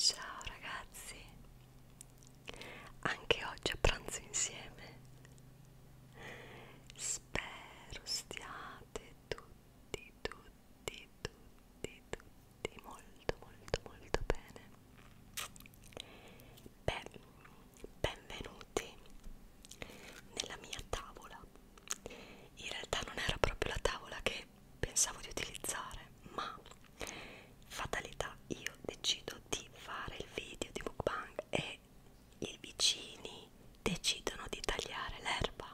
Ciao ragazzi, anche oggi a pranzo insieme Spero stiate tutti, tutti, tutti, tutti molto, molto, molto bene. Beh, benvenuti nella mia tavola. In realtà non era proprio la tavola che pensavo di utilizzare, ma fatalità, io decido di fare il video di mukbang e i vicini decidono di tagliare l'erba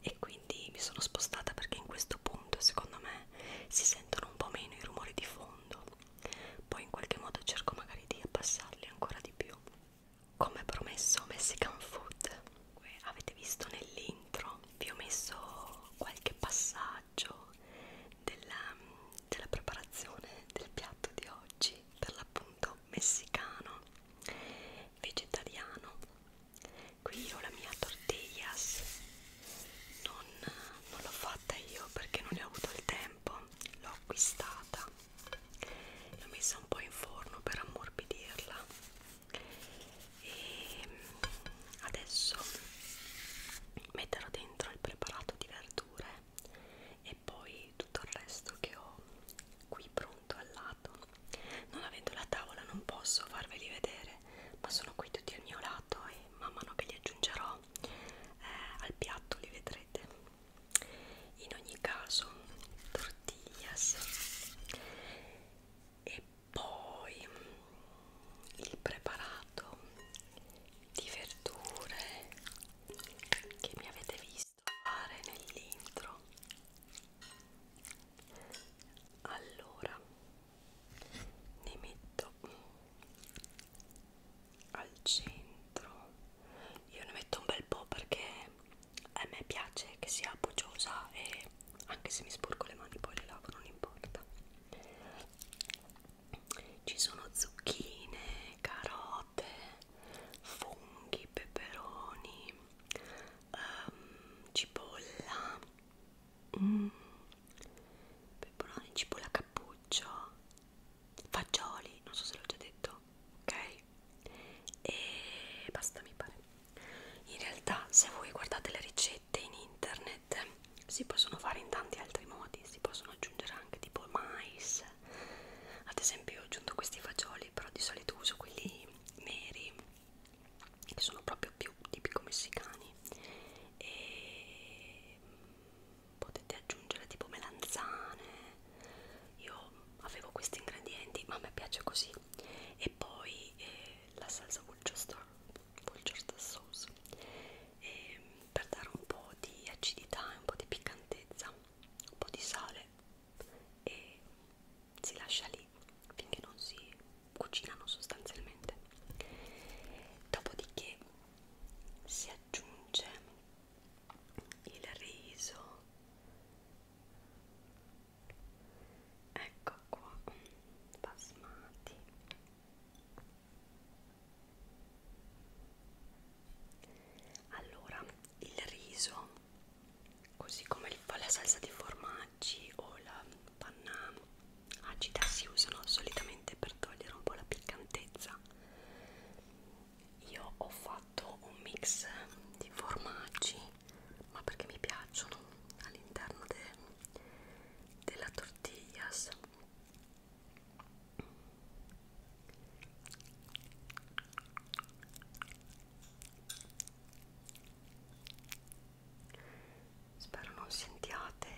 e quindi mi sono spostata perché in questo punto secondo me si sentono un po' meno i rumori di fondo poi in qualche modo cerco magari di abbassarli ancora di più come promesso Mexican Food avete visto nell'intro vi ho messo qualche passaggio della, della preparazione del piatto di oggi per l'appunto messicano vegetariano qui io la mia tortillas non, non l'ho fatta io perché non ne ho avuto il tempo l'ho acquistata l'ho messa un po' in forno per ammorbidirla e mm, adesso metterò dentro il preparato di verdure e poi tutto il resto che ho qui pronto al lato non avendo la tavola non posso farveli vedere ma sono qui tutti al mio lato e man mano che li aggiungerò eh, al piatto li vedrete in ogni caso tortillas e poi il preparato di verdure che mi avete visto fare nell'intro allora ne metto al centro io ne metto un bel po' perché a me piace che sia pogiosa e anche se mi sporco le mani poi le lavo non importa ci sono zucchine, carote, funghi, peperoni, um, cipolla, mm, peperoni, cipolla cappuccio, fagioli, non so se l'ho già detto, ok? E basta mi pare. In realtà se voi guardate le ricette in internet si possono fare in tanti altri modi, si possono possono aggiungere anche tipo mais ad esempio ho aggiunto questi fagioli però di solito uso quelli neri che sono proprio più tipico messicani e mm, potete aggiungere tipo melanzane io avevo questi ingredienti ma a me piace così e poi eh, la salsa vulture, vulture sauce e ehm, per dare un po' di acidità e un po' di piccantezza, un po' di sale e si lascia lì finché non si cucinano sostanzialmente. Dopodiché si aggiunge il riso. Ecco qua, basmati allora, il riso, così come la salsa di formaggi o la panna agita, si usano solitamente per togliere un po' la piccantezza. Io ho fatto un mix di formaggi, ma perché mi piacciono all'interno de, della tortillas Spero non sentiate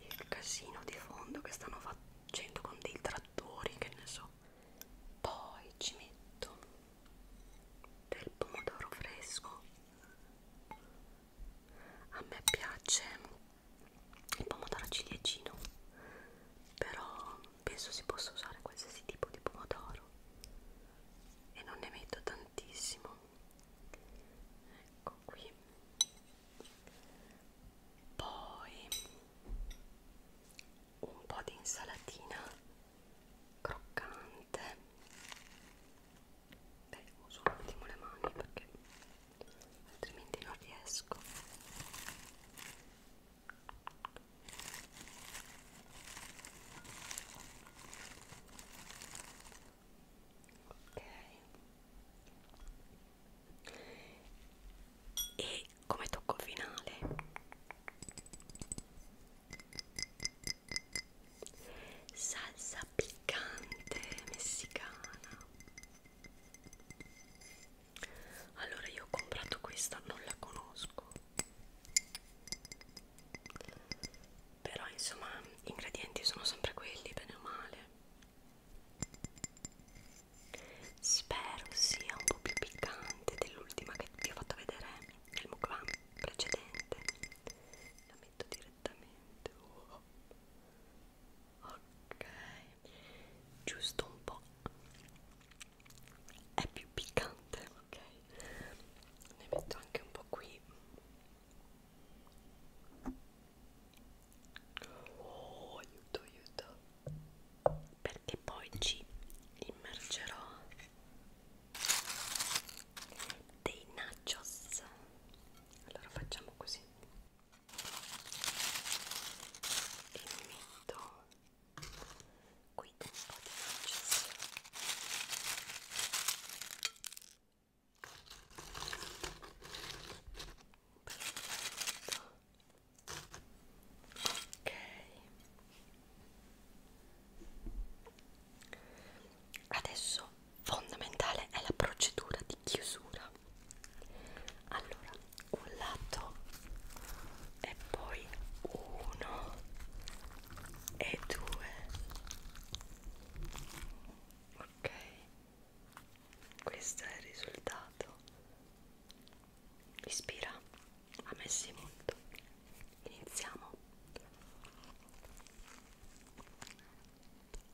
il casino di fondo che stanno facendo con dei trattori, che ne so. Poi ci metto del pomodoro fresco. A me piace il pomodoro ciliegino però penso si possa usare qualsiasi tipo di pomodoro e non ne metto tantissimo ecco qui poi un po' di insalatina croccante beh uso un attimo le mani perché altrimenti non riesco ok e come tocco finale salsa piccante messicana allora io ho comprato questa non la conosco però insomma gli ingredienti sono sempre quelli bene o male spero sia un po' più piccante dell'ultima che vi ho fatto vedere eh, nel mukbang precedente la metto direttamente oh ok giusto un po' è più piccante ok ne metto anche un po' qui oh aiuto aiuto perché poi ci immergerò dei nachos allora facciamo così e mi metto qui un po' di magicina perfetto ok adesso fondamentale è la procedura di chiusura qua allora un lato e poi uno e due ok questo è il risultato ispira a me sì molto iniziamo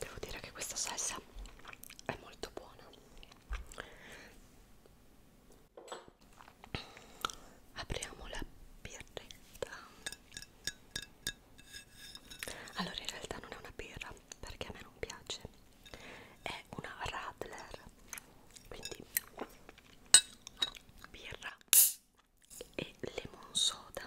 Devo dire che questa salsa è molto buona. Apriamo la birretta. Allora in realtà non è una birra perché a me non piace, è una Radler, quindi birra e lemon soda.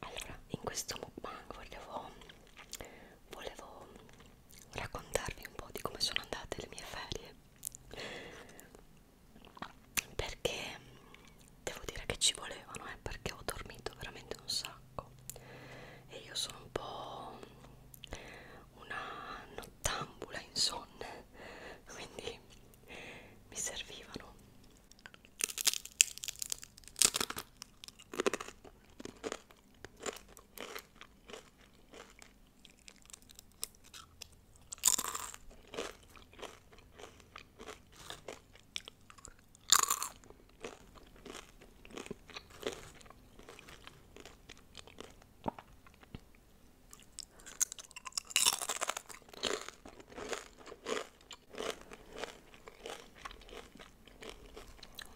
allora in questo mukbang volevo volevo raccontarvi un po' di come sono andate le mie ferie perché devo dire che ci volevano eh, perché ho dormito veramente un sacco e io sono un po' una nottambula insonne quindi mi servivano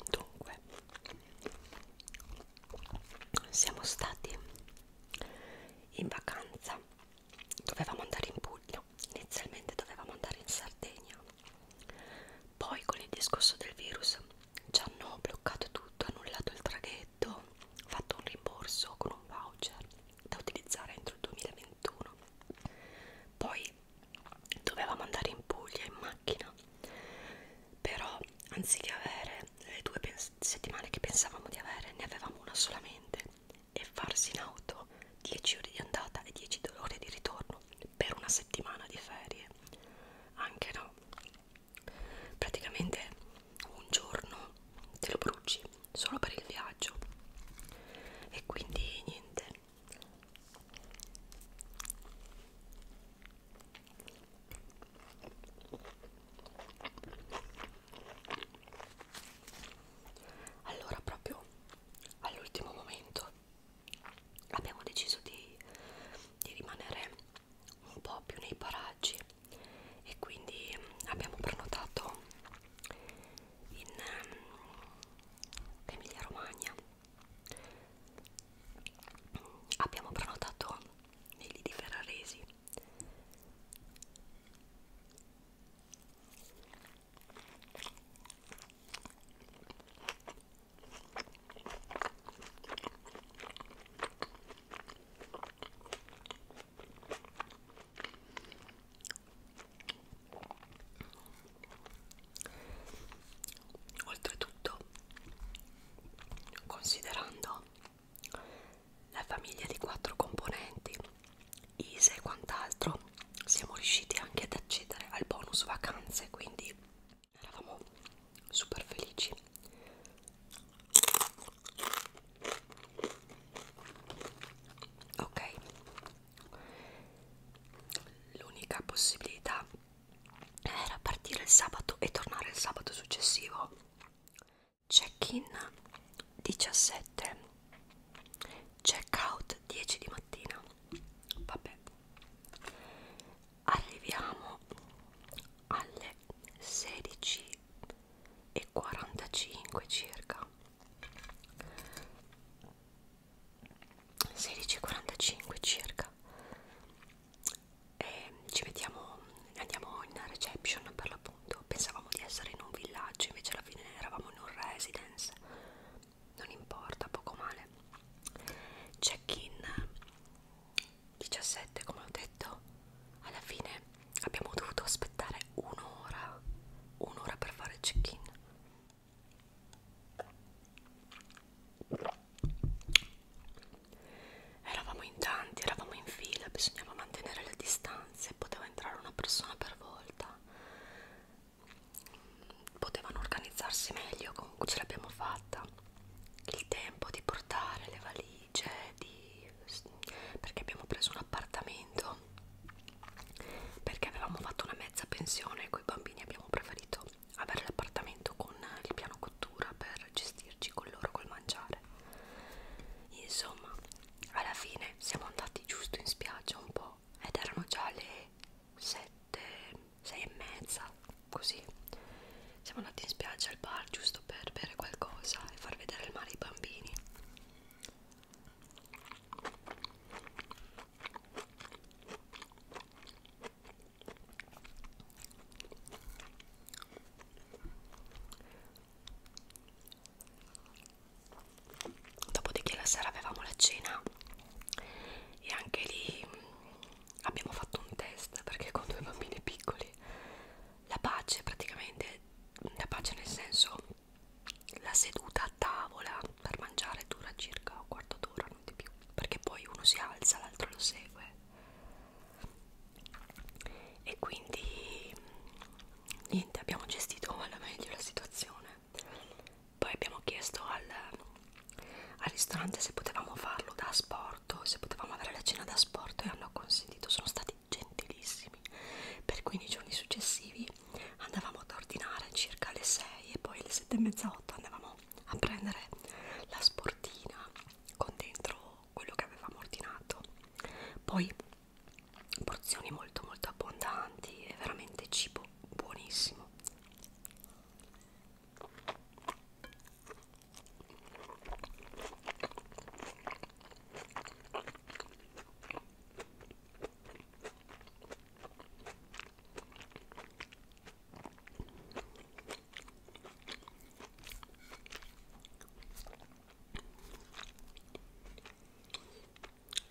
Dunque, siamo stati in vacanza, dovevamo andare in Puglia, inizialmente dovevamo andare in Sardegna, poi con il discorso del virus ci hanno bloccato tutto, annullato il traghetto freddo fatto un rimborso con un voucher da utilizzare entro il 2021 poi dovevamo andare in Puglia in macchina però anziché avere le due settimane che pensavamo di avere ne avevamo una solamente e farsi in auto 10 ore di andata e 10 ore di ritorno per una settimana di ferie anche no praticamente un giorno te lo bruci solo per il viaggio e quindi niente allora proprio all'ultimo momento abbiamo deciso di, di rimanere un po' più nei paraggi e quindi mm, abbiamo prenotato in um, Emilia Romagna abbiamo prenotato nei lidi ferraresi Oltretutto, considerando la famiglia di quattro componenti, ISE e quant'altro, siamo riusciti anche ad accedere al bonus vacanze, quindi eravamo super felici ok l'unica possibilità era partire il sabato e tornare il sabato successivo check in 17 check out 10 di mattina vabbè arriviamo alle 16.45 circa 16.45 circa e ci mettiamo andiamo in reception per l'appunto pensavamo di essere in un villaggio invece alla fine eravamo in un residence non importa poco male check in 17 come ho detto alla fine abbiamo dovuto aspettare un'ora un'ora per fare il check-in eravamo in tanti eravamo in fila bisognava mantenere le distanze poteva entrare una persona per volta potevano organizzarsi meglio comunque ce l'abbiamo fatta il tempo di portare le valigie valigie di, perché abbiamo preso un appartamento perché avevamo fatto una mezza pensione con i bambini abbiamo preferito avere l'appartamento con il piano cottura per gestirci con loro col mangiare insomma alla fine siamo andati giusto in spiaggia un po' ed erano già le 7 6 e mezza così siamo andati in spiaggia al bar giusto per bere qualcosa e far vedere il mare ai bambini Dopodiché la sera avevamo la cena e anche lì mm, abbiamo fatto un test perché con due bambini piccoli la pace praticamente la pace nel senso la seduta a tavola per mangiare dura circa un quarto d'ora non di più perché poi uno si alza l'altro lo segue e quindi niente abbiamo gestito alla meglio la situazione poi abbiamo chiesto al, al ristorante se potevamo farlo da asporto se potevamo avere la cena da trasporto e hanno acconsentito, sono stati gentilissimi. Per 15 giorni successivi andavamo ad ordinare circa alle 6 e poi alle 7 e mezza 8 andavamo a prendere la sportina con dentro quello che avevamo ordinato. Poi porzioni molto molto abbondanti e veramente cibo buonissimo.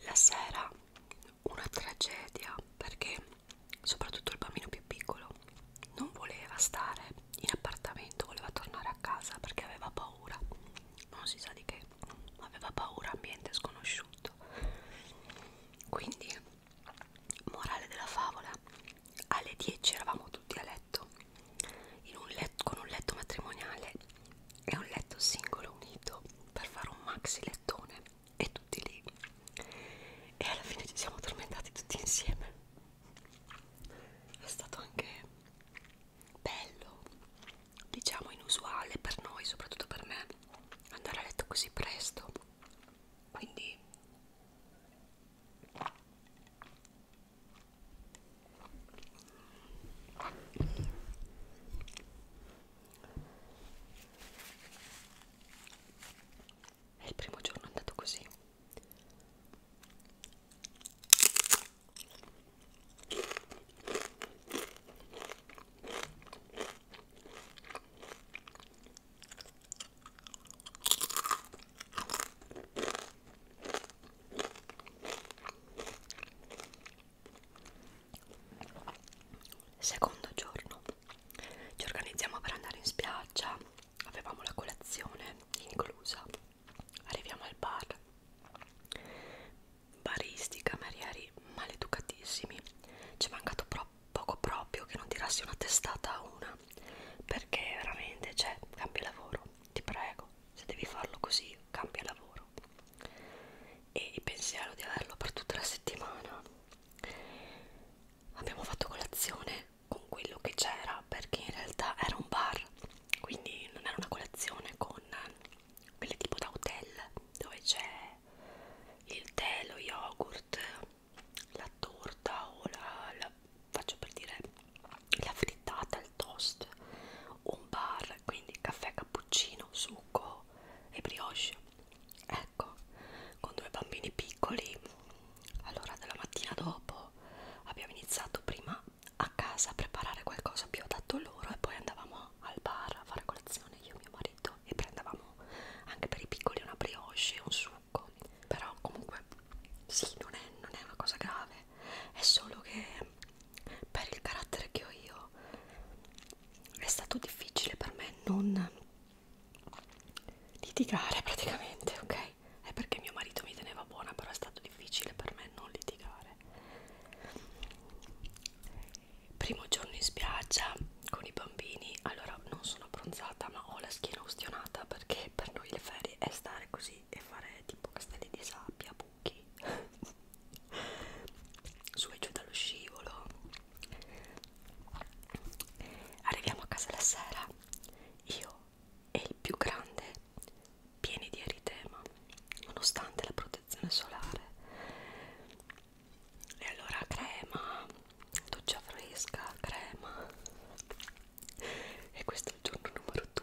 La sera una tragedia perché soprattutto il bambino più piccolo non voleva stare in appartamento, voleva tornare a casa perché aveva paura, non si sa di che, aveva paura, ambiente sconosciuto. Quindi, morale della favola, alle 10 eravamo tutti a letto, in un letto con un letto matrimoniale e un letto singolo unito per fare un maxi lettone e tutti lì. E alla fine ci siamo addormentati tutti insieme è stato anche bello diciamo inusuale per noi soprattutto per me andare a letto così presto quindi e il primo giorno è andato così Secondo giorno ci organizziamo per andare in spiaggia avevamo la colazione inclusa arriviamo al bar baristi camerieri maleducatissimi ci è mancato pro poco proprio che non tirassi una testata a una perché veramente cioè cambia lavoro ti prego se devi farlo così cambia lavoro e il pensiero di averlo per tutta la settimana abbiamo fatto colazione con quello che c'era perché in realtà era un bar quindi non era una colazione con quelle tipo da hotel dove c'è il tè, lo yogurt, la torta o la, la faccio per dire la frittata, il toast un bar, quindi caffè, cappuccino, succo e brioche ecco, con due bambini piccoli allora dalla mattina dopo io abbiamo iniziato prima a casa a preparare qualcosa più adatto loro e poi andavamo al bar a fare colazione io e mio marito e prendevamo anche per i piccoli una brioche e un succo però comunque sì non è, non è una cosa grave è solo che per il carattere che ho io è stato difficile per me non litigare praticamente ok è perché mio marito mi teneva buona, però è stato difficile per me non litigare. Primo giorno in spiaggia con i bambini, allora non sono abbronzata ma ho la schiena ustionata perché per noi le ferie è stare così e fare tipo castelli di sabbia, buchi, su e giù dallo scivolo. Arriviamo a casa la sera, io e il più grande pieni di eritema nonostante la protezione solare e allora crema doccia fresca crema e questo è il giorno numero 2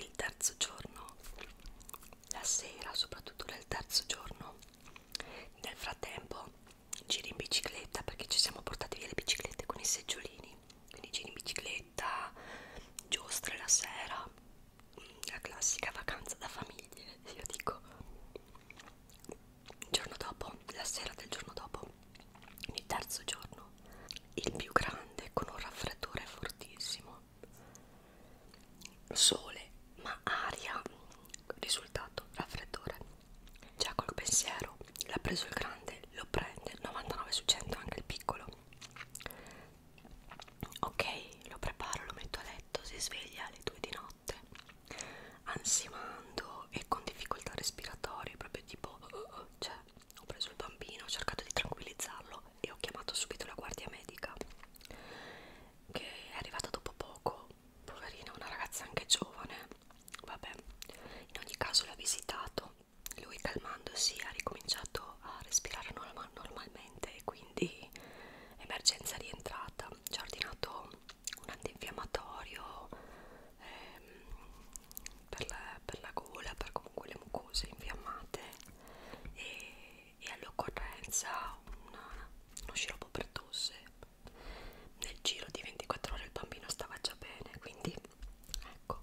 il terzo giorno, la sera, soprattutto nel terzo giorno, nel frattempo giri in bicicletta perché ci siamo portati via le biciclette con i seggiolini quindi giri in bicicletta, giostre la sera, la classica vacanza da famiglie, io dico il giorno dopo, la sera del giorno dopo, il terzo giorno, il più grande con un raffreddore fortissimo, sole ma aria, risultato raffreddore, già col pensiero, l'ha preso il grande, lo prende, 99 su 100 anche il piccolo, Ok, lo preparo, lo metto a letto, si sveglia alle 2 di notte, ansimando e con difficoltà respiratorie, proprio tipo, uh, uh, uh, cioè, ho preso il bambino, ho cercato di tranquillizzarlo e ho chiamato subito la guardia medica, che è arrivata dopo poco, poverina, una ragazza anche giovane, vabbè, in ogni caso l'ha visitato lui calmandosi ha ricominciato a respirare normal normalmente e quindi emergenza rientrata ci ha ordinato un antinfiammatorio ehm, per, la, per la gola per comunque le mucose infiammate e, e all'occorrenza una, uno sciroppo per tosse nel giro di 24 ore il bambino stava già bene quindi ecco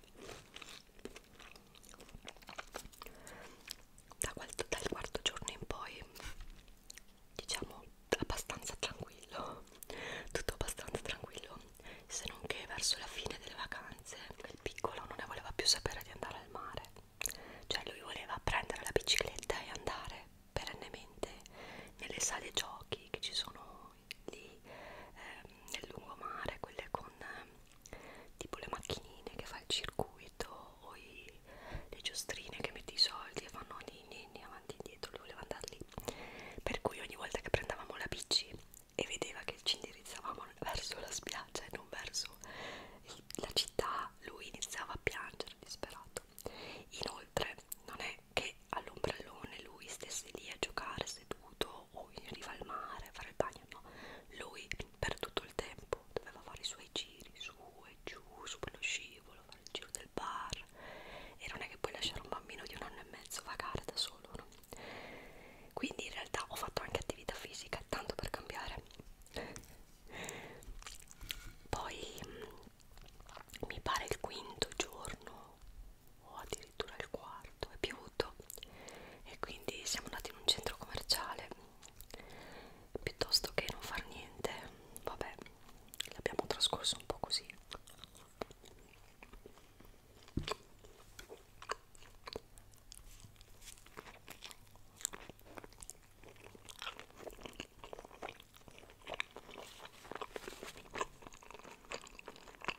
da quarto, dal quarto giorno in poi diciamo abbastanza tranquillo tutto abbastanza tranquillo se non che verso la fine delle vacanze il piccolo non ne voleva più sapere di andare al mare cioè lui voleva prendere la bicicletta e andare perennemente nelle sale giochi che ci sono noi lì ehm, nel lungomare, quelle con eh, tipo le macchinine che fa il circuito o i, le giostrine che metti i soldi e fanno nini ni, avanti e indietro, lui voleva andare lì. Per cui ogni volta che prendevamo la bici e vedeva che ci indirizzavamo verso la spiaggia e non verso il, la città, lui iniziava a piangere disperato. Inoltre non è che all'ombrellone lui stesse lì a giocare seduto o in riva al mare a fare il bagno no lui per tutto il tempo doveva fare i suoi giri su e giù su quello scivolo fare il giro del bar e non è che puoi lasciare un bambino di un anno e mezzo vagare da solo no quindi in realtà ho fatto anche attività fisica tanto per cambiare poi mm, mi pare il quinto giorno o addirittura il quarto è piovuto e quindi siamo andati in un centro commerciale piuttosto che non far niente vabbè l'abbiamo trascorso un po' così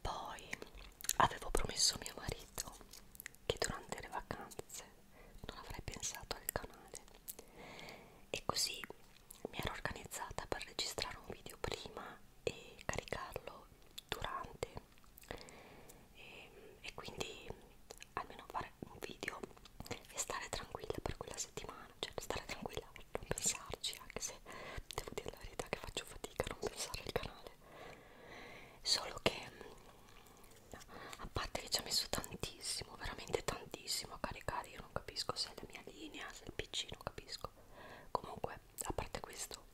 Poi avevo promesso a mio marito che durante le vacanze non avrei pensato al canale e così mi ero organizzata per registrare un video prima e caricarlo durante e, e quindi almeno fare un video e stare tranquilla per quella settimana, cioè stare tranquilla, non pensarci, anche se devo dire la verità che faccio fatica a non pensare al canale. Solo che a parte che ci ha messo tantissimo, veramente tantissimo a caricare, io non capisco se è la mia linea, se è il PC, non capisco. Comunque, a parte questo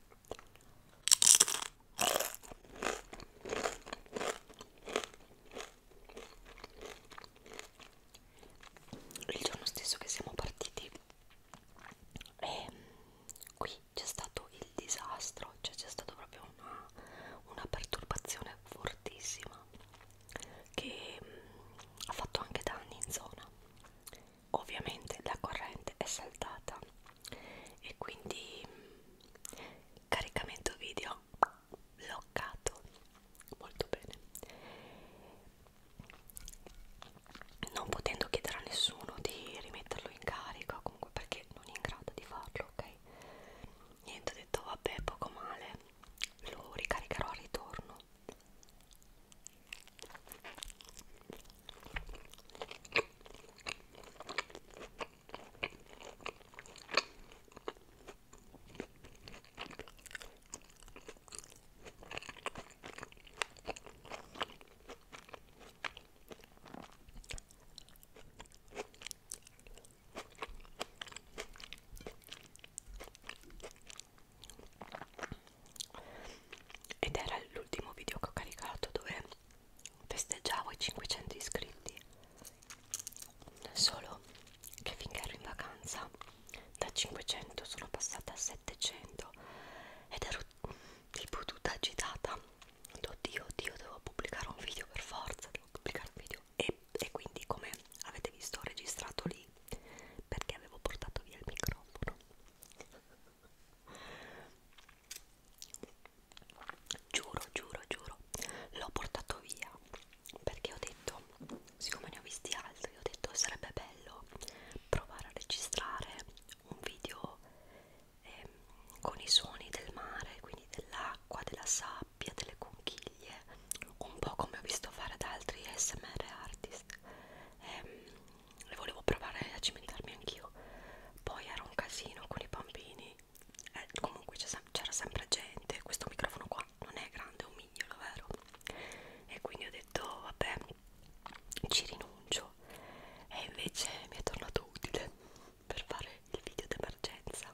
il giorno stesso che siamo partiti e ehm, qui c'è stato il disastro cioè c'è stata proprio una, una perturbazione fortissima che mh, mm, ha fatto anche danni in zona ovviamente la corrente è saltata e quindi mh, mm, caricamento video bloccato molto bene non potendo chiedere a nessuno di rimetterlo in carica comunque perché non è in grado di farlo ok niente ho detto vabbè poco male lo ricaricherò al ritorno ed era l'ultimo video che ho caricato dove festeggiavo i 500 iscritti solo che finché ero in vacanza da 500 sono passata a 700 ed ero tipo tutta agitata oddio oddio devo pubblicare un video per forza devo pubblicare un video e, e quindi come avete visto ho registrato lì perché avevo portato via il microfono giuro giuro giuro l'ho portato via perché ho detto, siccome ne ho visti altri, ho detto sarebbe bello provare a registrare un video eh, con i suoni del mare, quindi dell'acqua, della sabbia, delle conchiglie, un po' come ho visto fare da altri SMR artist. Ehm, e, e volevo provare a cimentarmi anch'io. Poi era un casino con i bambini eh, comunque c'era sempre gente questo microfono qua non è grande è un mignolo vero e quindi ho detto vabbè ci rinuncio e invece mi è tornato utile per fare il video d'emergenza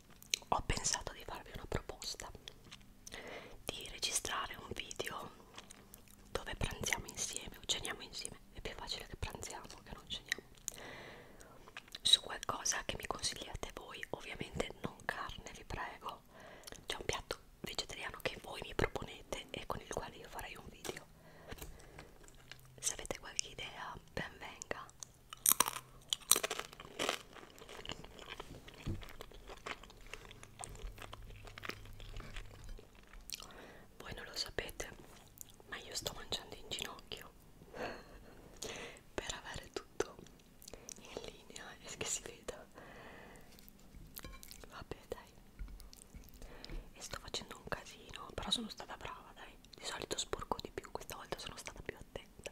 ho pensato di farvi una proposta di registrare un video dove pranziamo insieme o ceniamo insieme è più facile che pranziamo che non ceniamo su qualcosa che mi consigliate voi ovviamente non carne vi prego c'è un piatto vegetariano che voi mi proponete e con il quale io farei un video se avete qualche idea ben venga voi non lo sapete, ma io sto mangiando in ginocchio per avere tutto in linea e che si veda. Vabbè, dai. E sto facendo un casino, però sono stata brava, dai. Di solito sporco di più, questa volta sono stata più attenta.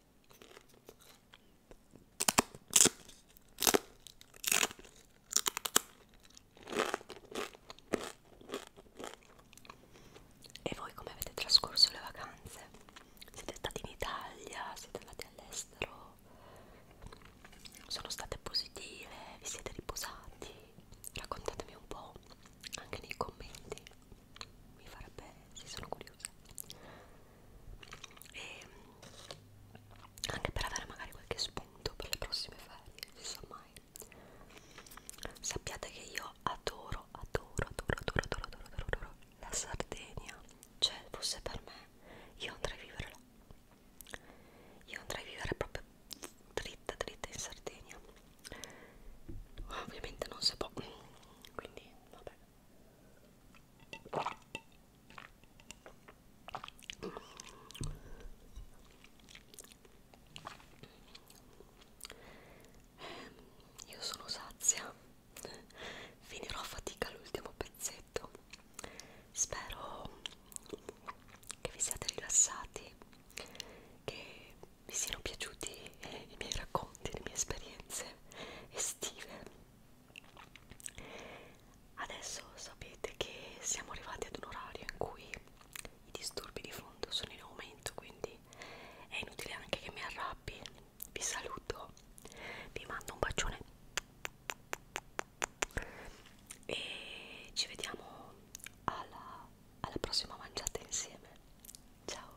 E voi come avete trascorso le vacanze? Siete stati in Italia? Siete andati all'estero? Sono state positive? Vi siete riposati? Raccontatemi un po' anche nei commenti, mi farebbe, sì sono curiosa e anche per avere magari qualche spunto per le prossime ferie, si sa mai. Sappiate che io adoro, adoro, adoro, adoro, adoro, adoro, adoro, adoro la Sardegna. Cioè, fosse per me, io andrei a vivere là. Io andrei a vivere proprio dritta, dritta in Sardegna. Ovviamente non si può, quindi vabbè. Eh, io sono sazia, finirò a fatica l'ultimo pezzetto. Spero che vi siate rilassati, che vi siano piaciuti i miei racconti, le mie esperienze estive Adesso sapete che siamo arrivati ad un orario in cui i disturbi di fondo sono in aumento, quindi è inutile anche che mi arrabbi. Vi saluto, vi mando un bacione e ci vediamo alla, alla prossima mangiata insieme. Ciao!